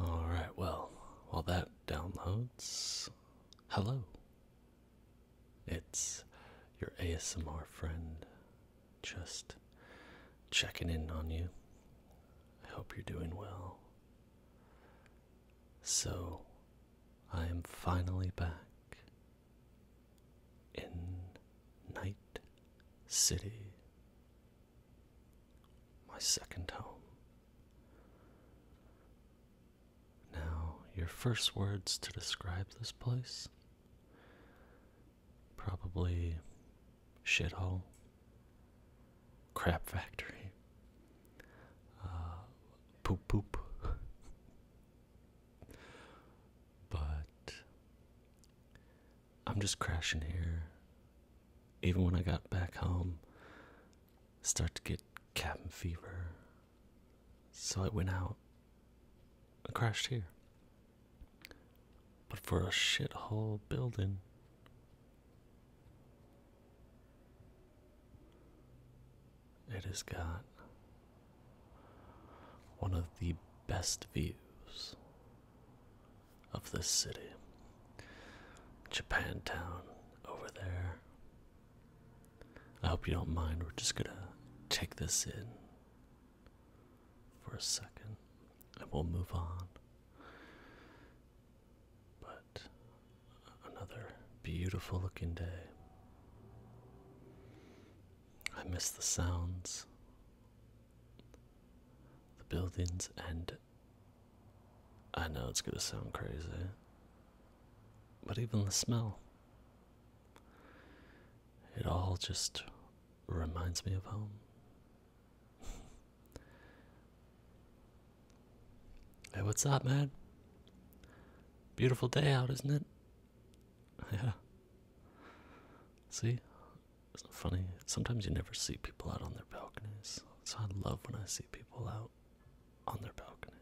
Alright, well, while that downloads, hello. It's your ASMR friend just checking in on you. I hope you're doing well. So, I am finally back in Night City my second home. Now, your first words to describe this place? Probably shithole, crap factory, uh, poop poop. but I'm just crashing here. Even when I got back home, start to get cabin fever. So I went out and crashed here. But for a shithole building. It has got one of the best views of this city. Japantown over there. I hope you don't mind. We're just gonna take this in for a second and we'll move on. But another beautiful looking day. I miss the sounds, the buildings, and I know it's going to sound crazy, but even the smell, it all just reminds me of home. hey, what's up, man? Beautiful day out, isn't it? Yeah. See, it's funny. Sometimes you never see people out on their balconies. So I love when I see people out on their balconies.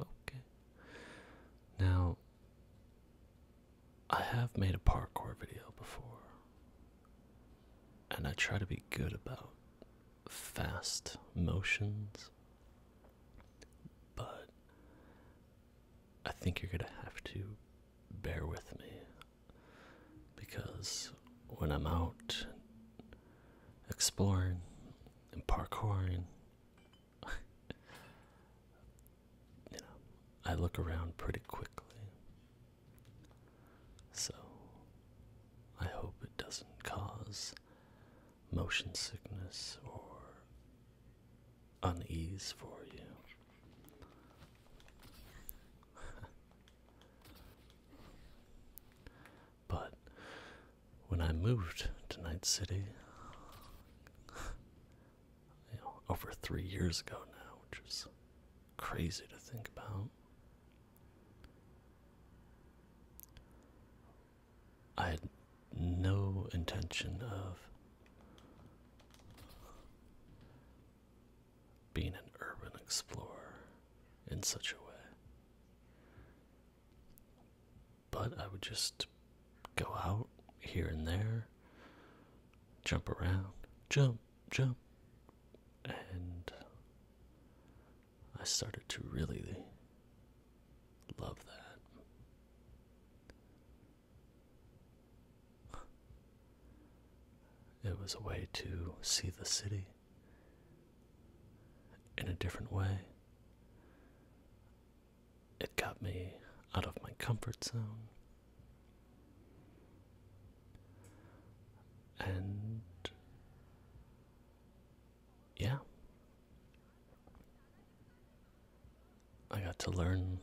Okay. Now, I have made a parkour video before. And I try to be good about fast motions. But I think you're gonna have to bear with me because when I'm out exploring and parkouring, you know, I look around pretty quickly. So I hope it doesn't cause motion sickness or unease for you. but when I moved to Night City, you know, over three years ago now, which is crazy to think about. I had no intention of being an urban explorer in such a way. But I would just go out here and there, jump around, jump, jump, and I started to really love that. It was a way to see the city in a different way. It got me out of my comfort zone. And yeah, I got to learn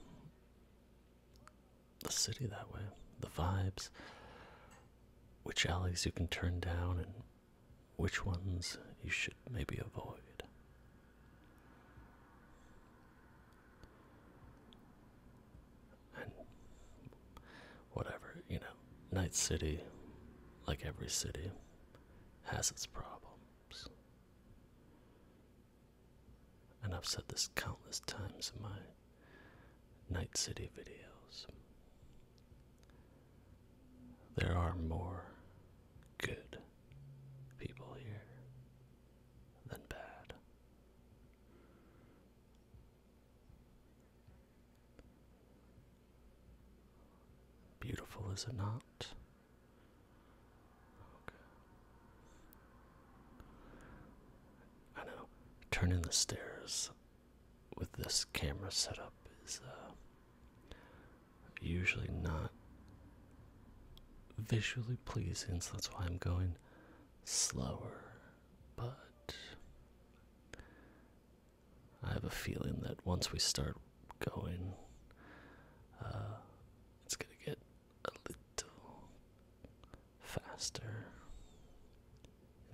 the city that way, the vibes, which alleys you can turn down and which ones you should maybe avoid. And whatever, you know, Night City, like every city, has its problems. And I've said this countless times in my Night City videos. There are more good people here than bad. Beautiful, is it not? I know turning the stairs with this camera setup is uh, usually not visually pleasing, so that's why I'm going slower. But I have a feeling that once we start going, uh, it's gonna get a little faster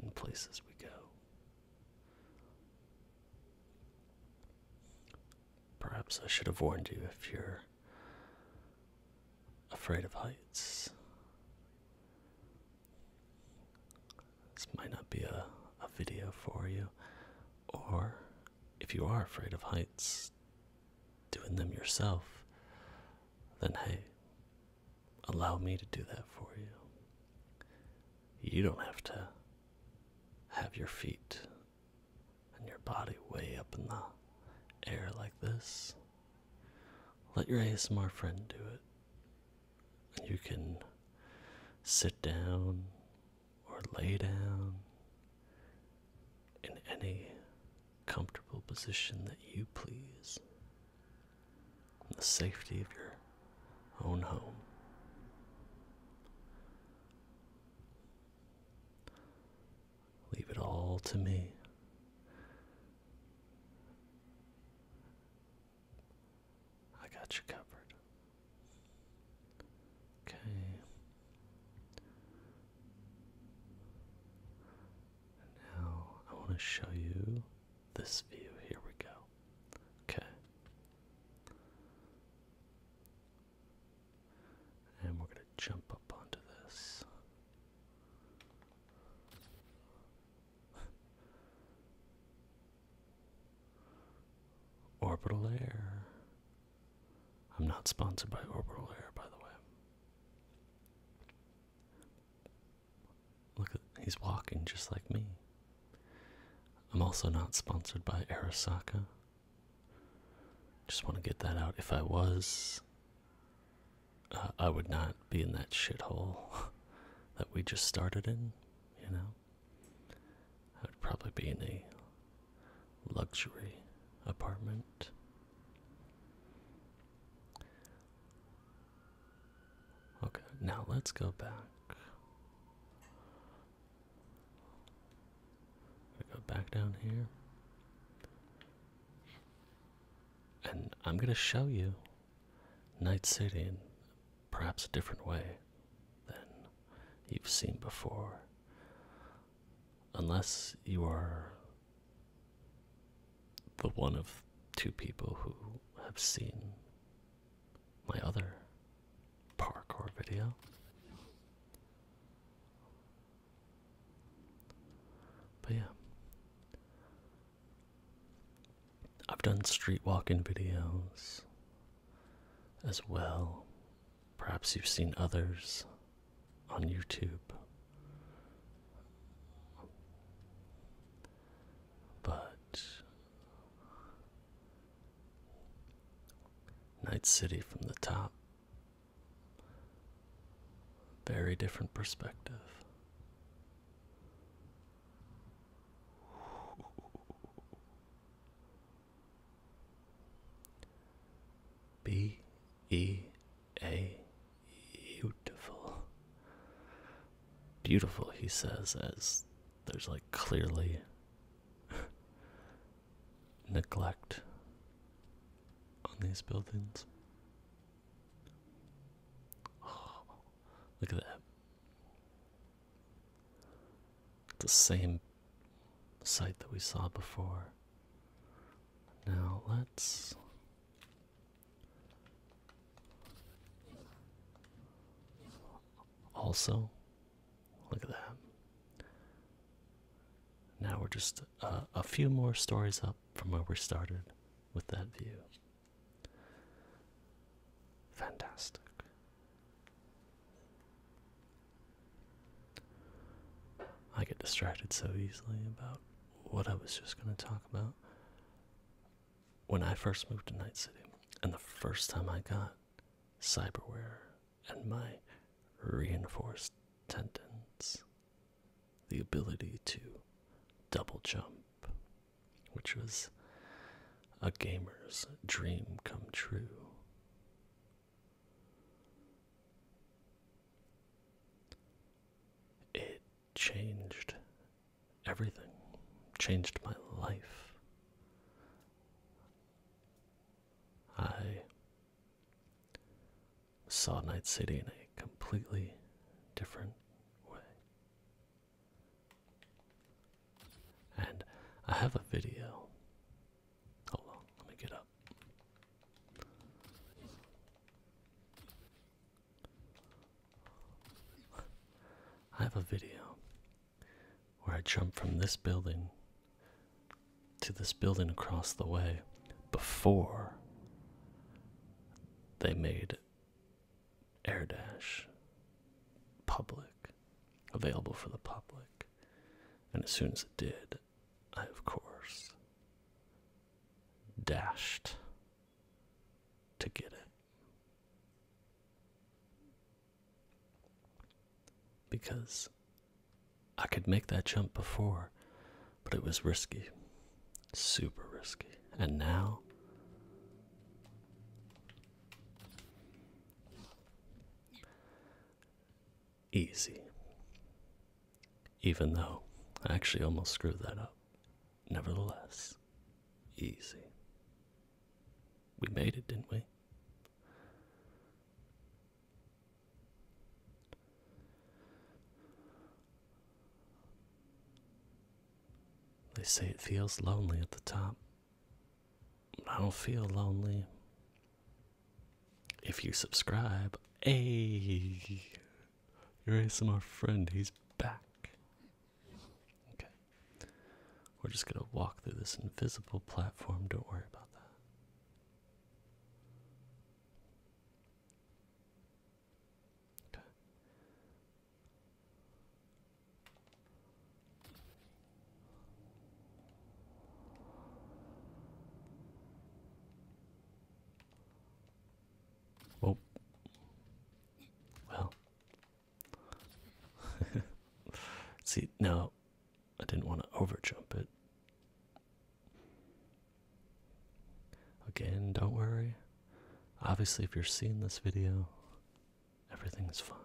in places we go. Perhaps I should have warned you if you're afraid of heights. This might not be a, a video for you, or if you are afraid of heights, doing them yourself, then hey, allow me to do that for you. You don't have to have your feet and your body way up in the air like this. Let your ASMR friend do it. You can sit down or lay down in any comfortable position that you please in the safety of your own home. Leave it all to me. I got you covered. Okay. And now I want to show you this view. Here we go. Okay. And we're going to jump up onto this. Orbital air. I'm not sponsored by Orbital Air, by the way. Look at he's walking just like me. I'm also not sponsored by Arasaka. Just want to get that out. If I was, uh, I would not be in that shithole that we just started in, you know? I would probably be in a luxury apartment. Okay, now let's go back. Go back down here. And I'm going to show you Night City in perhaps a different way than you've seen before unless you are the one of two people who have seen my other parkour video. But yeah, I've done street walking videos as well Perhaps you've seen others on YouTube. But Night City from the top, very different perspective. B E A beautiful. Beautiful, he says, as there's like clearly neglect on these buildings. Oh, look at that. the same site that we saw before. Now let's also look at that. Now we're just uh, a few more stories up from where we started with that view. Fantastic. I get distracted so easily about what I was just going to talk about. When I first moved to Night City, and the first time I got cyberware and my reinforced tendons, the ability to double jump, which was a gamer's dream come true. It changed everything, changed my life. I saw Night City in a completely different way. And I have a video Oh well, let me get up. I have a video where I jump from this building to this building across the way before they made air dash public available for the public and as soon as it did, I, of course, dashed to get it. Because I could make that jump before, but it was risky. Super risky. And now easy. Even though I actually almost screwed that up. Nevertheless, easy. We made it, didn't we? They say it feels lonely at the top. I don't feel lonely. If you subscribe, a your ASMR friend, he's back. Okay. We're just going to walk through this invisible platform. Don't worry about that. Okay. Oh. Well. See, now I didn't want to overjump it. Again, don't worry. Obviously, if you're seeing this video, Everything's fine.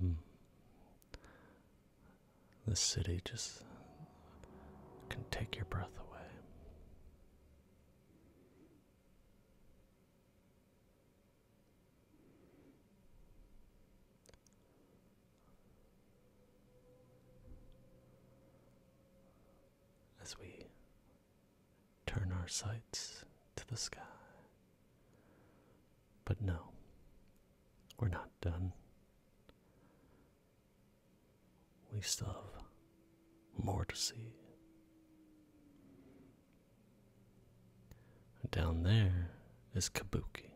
Hmm. The city just can take your breath away. As we turn our sights to the sky. But no, we're not done. We still have more to see. Down there is Kabuki.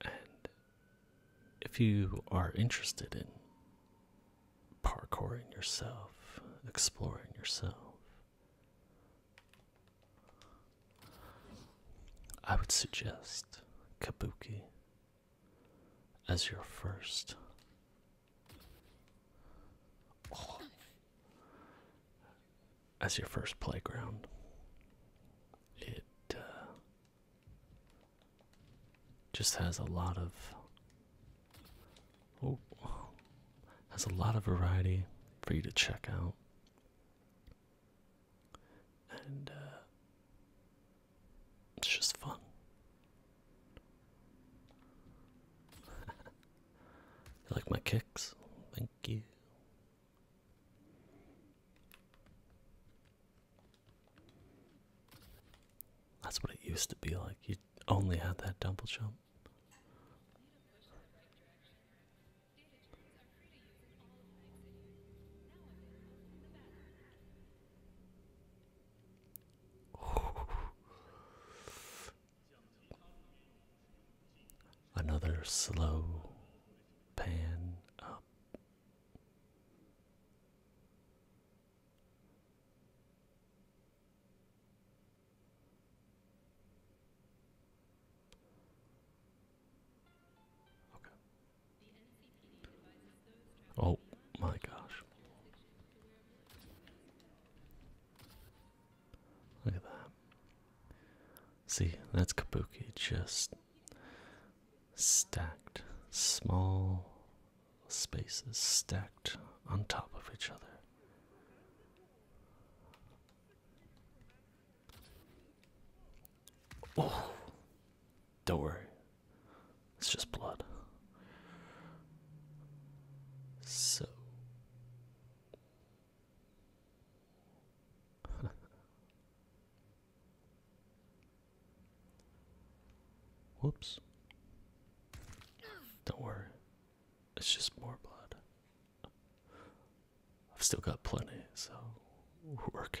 And if you are interested in parkouring yourself, exploring yourself, I would suggest Kabuki as your first as your first playground. It uh, just has a lot of oh, has a lot of variety for you to check out, and uh, it's just fun. like my kicks? Thank you. That's what it used to be like. You only had that double jump. Another slow pan up. Okay. Oh my gosh. Look at that. See, that's Kabuki just stacked, small spaces stacked on top of each other. Oh, don't worry, it's just blood. So, Whoops. Don't worry. It's just more blood. I've still got plenty, so we're good.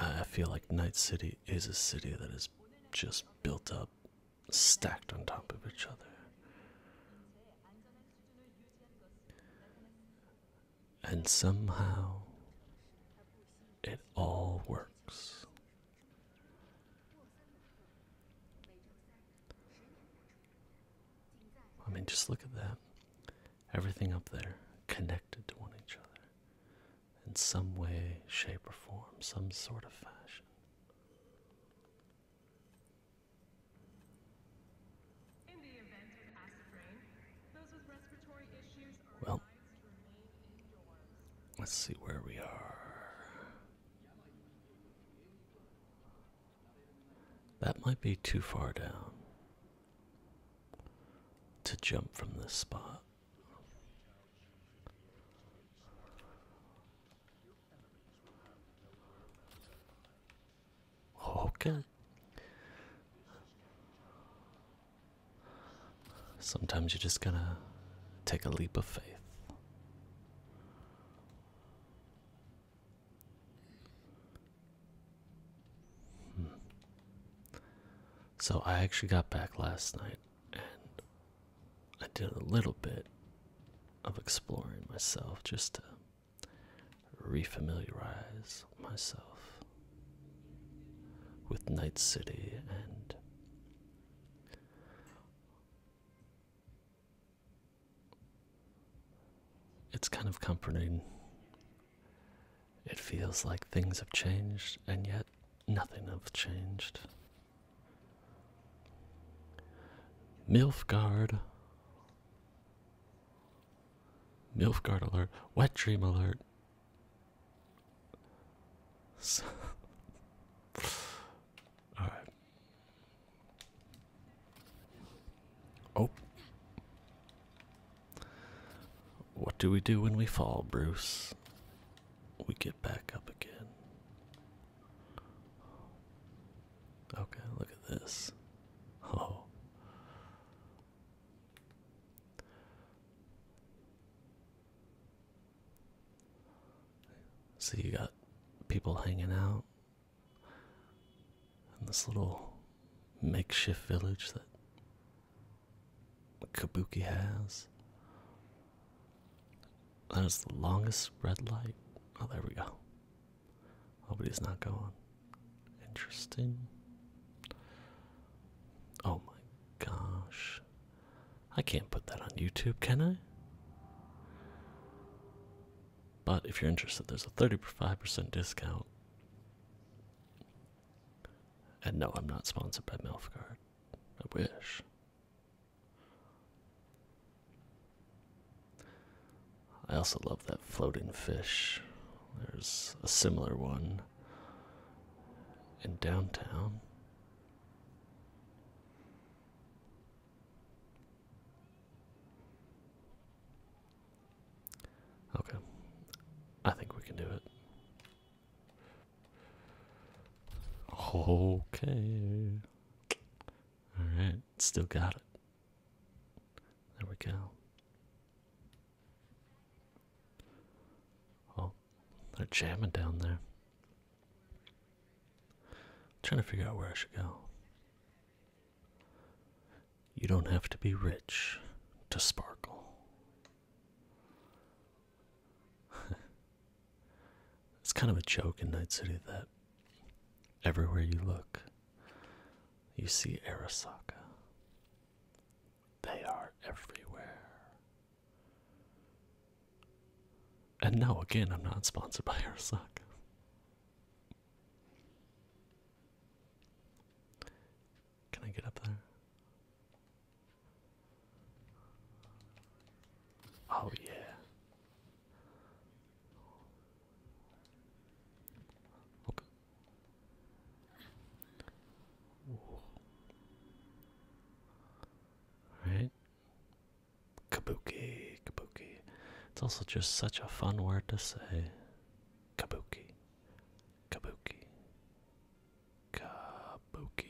I feel like Night City is a city that is just built up, stacked on top of each other. And somehow it all works. I mean, just look at that. Everything up there connected to one each other in some way, shape, or form, some sort of fashion. well, Let's see where we are. That might be too far down to jump from this spot. Okay. Sometimes you are just going to take a leap of faith. Hmm. So I actually got back last night and I did a little bit of exploring myself just to refamiliarize myself with Night City and it's kind of comforting it feels like things have changed, and yet nothing has changed. Milfgard. Milfgard alert. Wet dream alert. All right. Oh. What do we do when we fall, Bruce? We get back up again. Okay, look at this. Oh. So you got people hanging out in this little makeshift village that Kabuki has. That is the longest red light. Oh, there we go. Hope it is not going. Interesting. Oh my gosh. I can't put that on YouTube, can I? But if you're interested, there's a 35% discount and no, I'm not sponsored by Melfguard. I wish. I also love that floating fish. There's a similar one in downtown. Okay, I think we can do it. Okay. Alright, still got it. There we go. Oh, they're jamming down there. trying to figure out where I should go. You don't have to be rich to sparkle. it's kind of a joke in Night City that everywhere you look, you see Arasaka. They are everywhere. And now again, I'm not sponsored by Arasaka. Can I get up there? Oh, yeah. Okay. Right? Kabuki, kabuki. It's also just such a fun word to say. Kabuki, kabuki, Kabuki.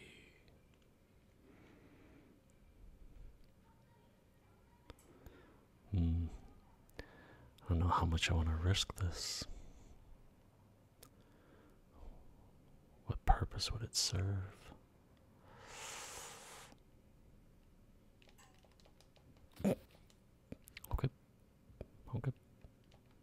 Hmm. I don't know how much I want to risk this. What purpose would it serve? Okay. Okay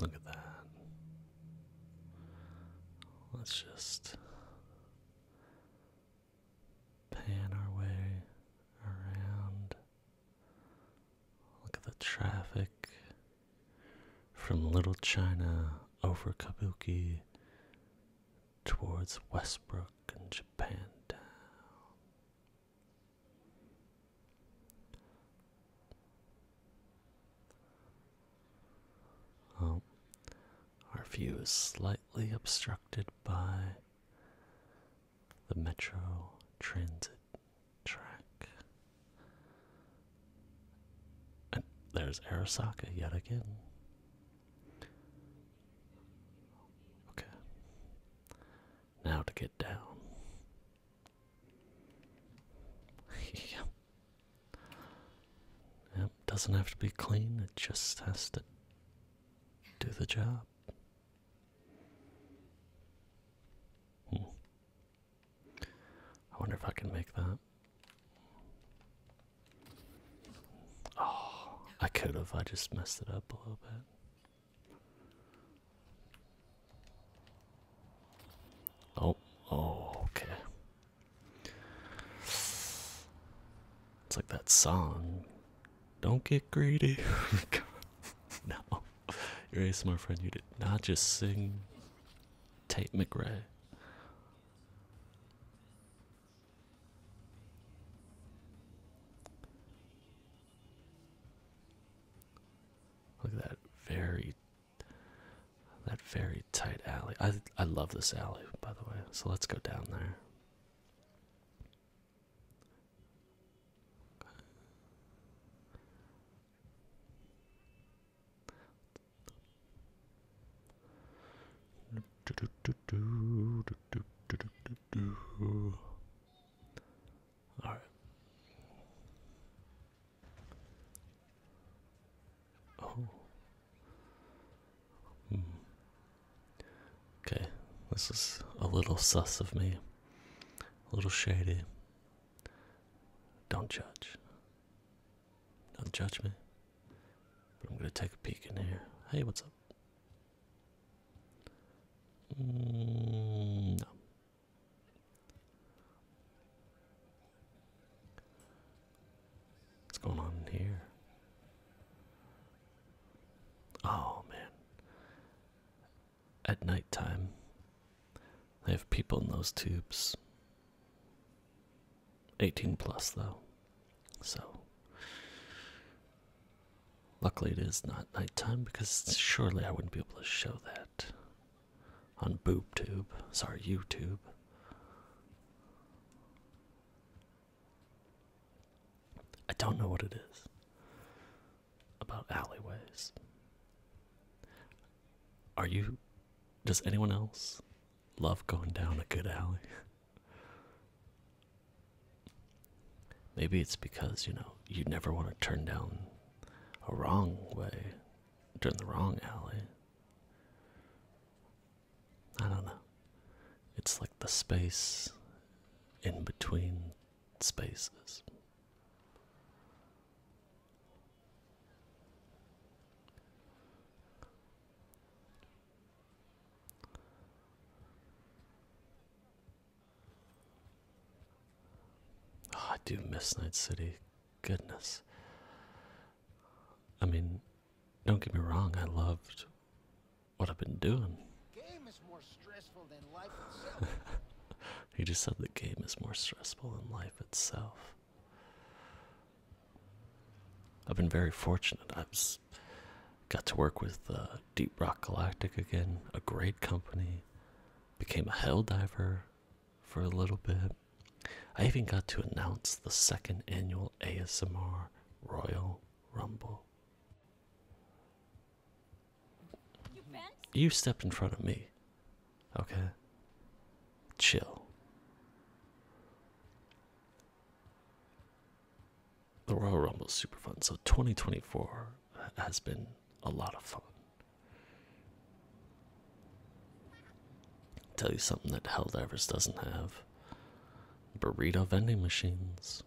Look at that. Let's just pan our way around. Look at the traffic from Little China over Kabuki towards Westbrook and Japantown. Oh, our view is slightly obstructed by the metro transit track. And there's Arasaka yet again. Okay. Now to get down. doesn't have to be clean, it just has to do the job. Hmm. I wonder if I can make that. Oh, I could have. I just messed it up a little bit. Oh, oh, okay. It's like that song. Don't get greedy. Oh no. You're a smart friend. You did not just sing Tate McRae. Look at that very that very tight alley. I I love this alley by the way. So let's go down there. All right. Oh. Hmm. Okay, this is a little sus of me, a little shady. Don't judge. Don't judge me. But I'm gonna take a peek in here. Hey, what's up? Mm, no. What's going on here? Oh man. At nighttime, they have people in those tubes. 18 plus, though. So, Luckily, it is not nighttime because surely I wouldn't be able to show that on BoobTube. Sorry, YouTube. I don't know what it is about alleyways. Are you. Does anyone else love going down a good alley? Maybe it's because, you know, you never want to turn down a wrong way, turn the wrong alley. I don't know. It's like the space in between spaces. Ah, I do miss Night City. Goodness. I mean, don't get me wrong, I loved what I've been doing. he just said the game is more stressful than life itself. I've been very fortunate. I've got to work with uh, Deep Rock Galactic again, a great company. Became a hell diver for a little bit. I even got to announce the second annual ASMR Royal Rumble. You, you stepped in front of me. Okay. Chill the Royal Rumble is super fun. So 2024 has been a lot of fun. tell you something that Hell Divers doesn't have burrito vending machines.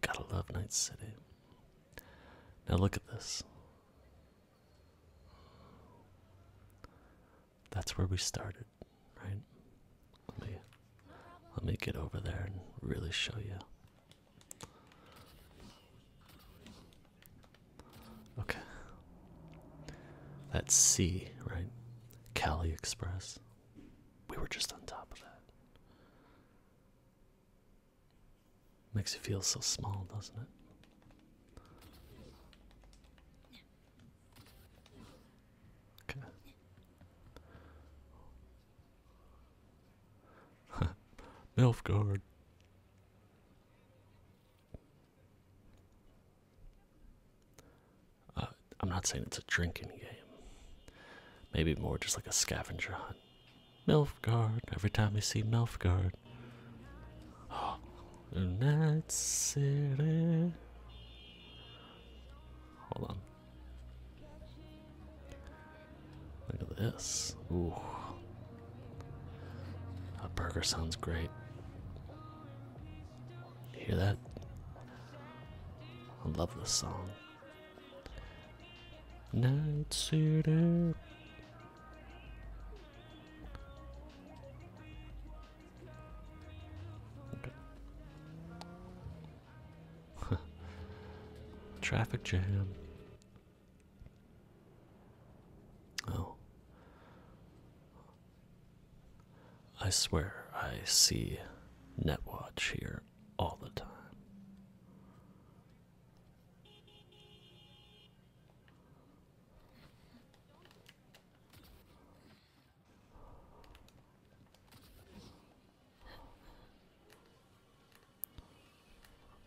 Gotta love Night City. Now look at this that's where we started, right? Let me let me get over there and really show you. Okay. That's C, right? Cali Express. We were just on top of that. Makes you feel so small, doesn't it? Okay. Uh, I'm not saying it's a drinking game. Maybe more just like a scavenger hunt. Milfguard. Every time you see Milfguard. Oh, Night City. Hold on. Look at this. Ooh. That burger sounds great. You hear that? I love this song. Night City. Traffic jam. Oh. I swear I see Netwatch here all the time.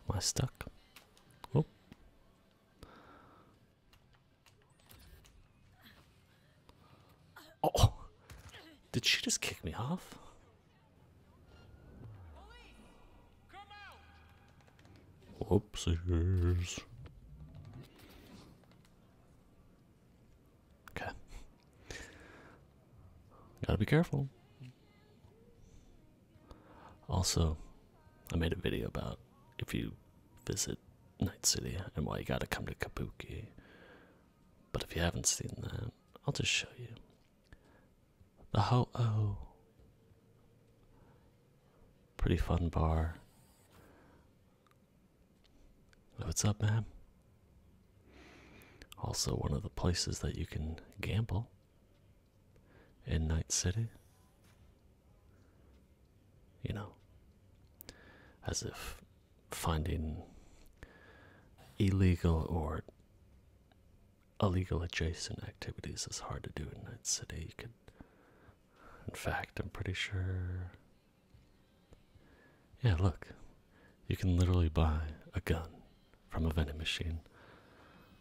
Am I stuck? Oh. Oh, did she just kick me off? Whoopsies. Okay. Gotta be careful. Also, I made a video about if you visit Night City and why you gotta come to Kabuki. But if you haven't seen that, I'll just show you. The Ho Oh! Pretty fun bar. What's up, man? Also, one of the places that you can gamble in Night City. You know, as if finding illegal or illegal adjacent activities is hard to do in Night City. You could, in fact, I'm pretty sure yeah, look. You can literally buy a gun from a vending machine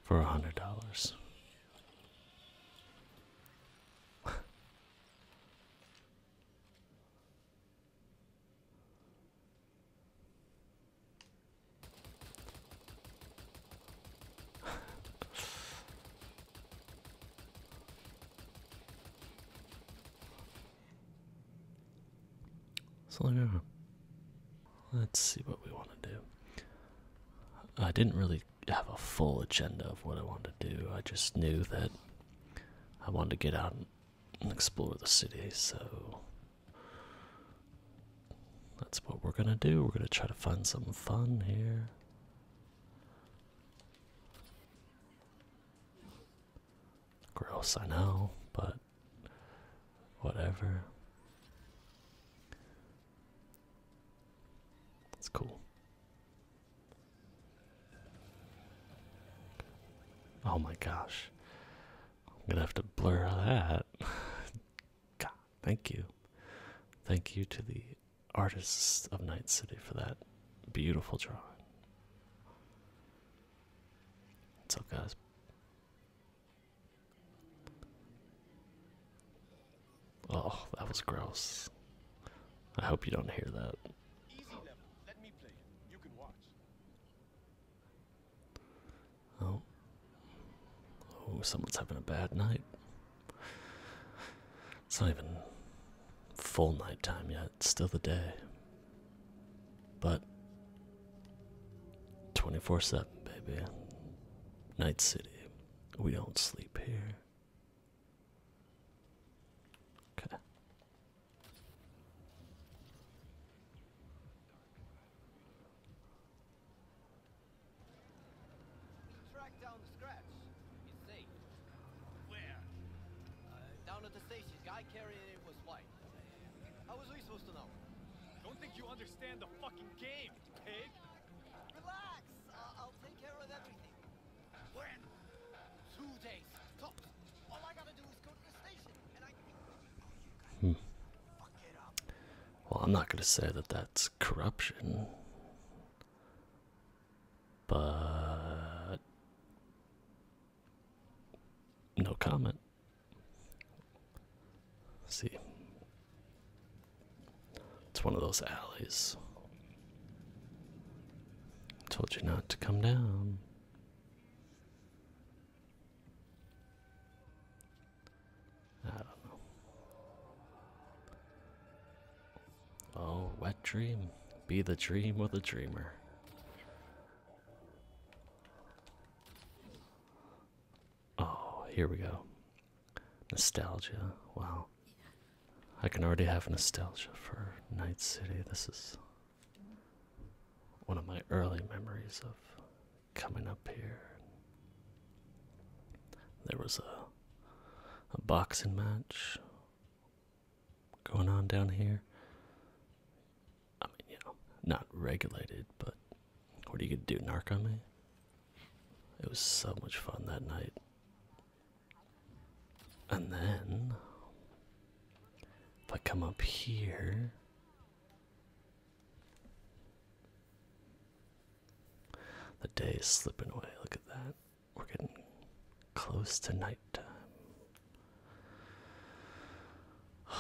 for a hundred dollars. So yeah. Let's see what we want to do. I didn't really have a full agenda of what I wanted to do. I just knew that I wanted to get out and explore the city, so that's what we're gonna do. We're gonna try to find some fun here. Gross, I know, but whatever. It's cool. Oh my gosh. I'm gonna have to blur that. God, thank you. Thank you to the artists of Night City for that beautiful drawing. What's up, guys? Oh, that was gross. I hope you don't hear that. Oh. Oh, someone's having a bad night. It's not even full nighttime yet, still the day. But 24 7, baby. Night City. We don't sleep here. Okay. Where? Uh, down at the station. Guy carrying it was white. How was we supposed to know? Don't think you understand the fucking game, pig! Relax! I'll take care of everything. When? Two days, All I gotta do is go to the station, and I can... Oh, hmm. Well, I'm not gonna say that that's corruption but no comment. see, it's one of those alleys. Told you not to come down. I don't know. Oh, wet dream. Be the dream or the dreamer. Oh, here we go. Nostalgia. Wow. I can already have nostalgia for Night City. This is one of my early memories of coming up here. There was a a boxing match going on down here. I mean, you know, not regulated, but what are you gonna do? Narc on me? It was so much fun that night. And then, if I come up here. The day is slipping away, look at that. We're getting close to nighttime.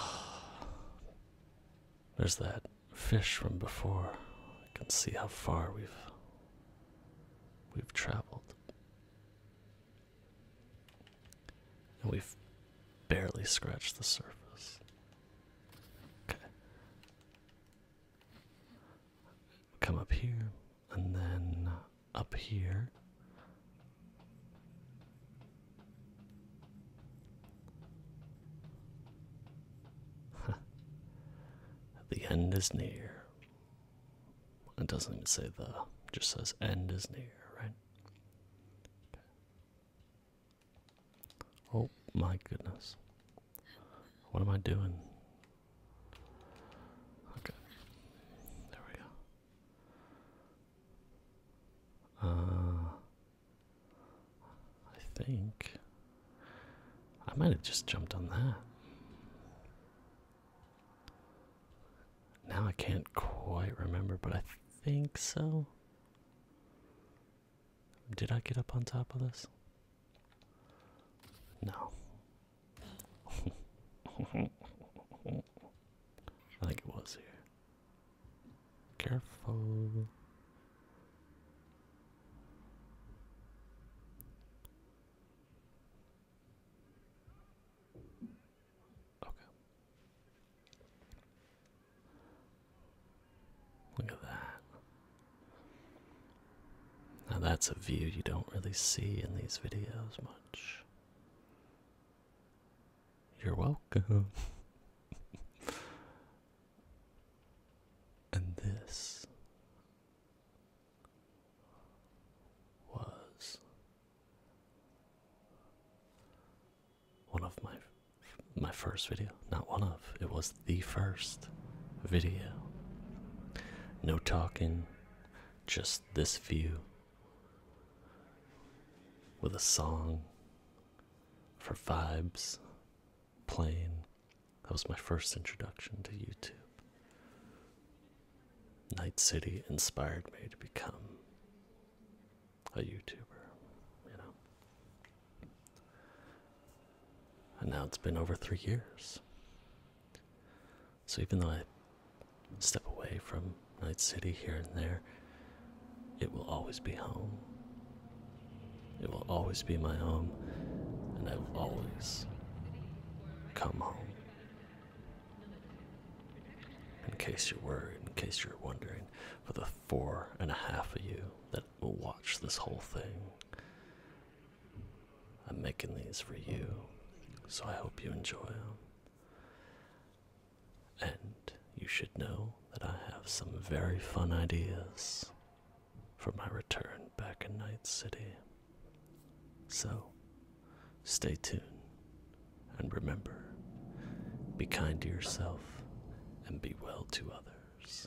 There's that fish from before. I can see how far we've we've traveled. And we've barely scratched the surface. Okay. Come up here and then up here. the end is near. It doesn't even say the, it just says end is near, right? Oh my goodness. What am I doing? Okay. There we go. Uh, I think I might have just jumped on that. Now I can't quite remember, but I think so. Did I get up on top of this? No. I think it was here. Careful. Okay. Look at that. Now that's a view you don't really see in these videos much. You're welcome. and this was one of my my first video. Not one of. It was the first video. No talking, just this view with a song for vibes playing. That was my first introduction to YouTube. Night City inspired me to become a YouTuber, you know. And now it's been over three years. So even though I step away from Night City here and there, it will always be home. It will always be my home, and I will always come home. In case you're worried, in case you're wondering, for the four and a half of you that will watch this whole thing, I'm making these for you, so I hope you enjoy them. And you should know that I have some very fun ideas for my return back in Night City. So, stay tuned and remember be kind to yourself and be well to others.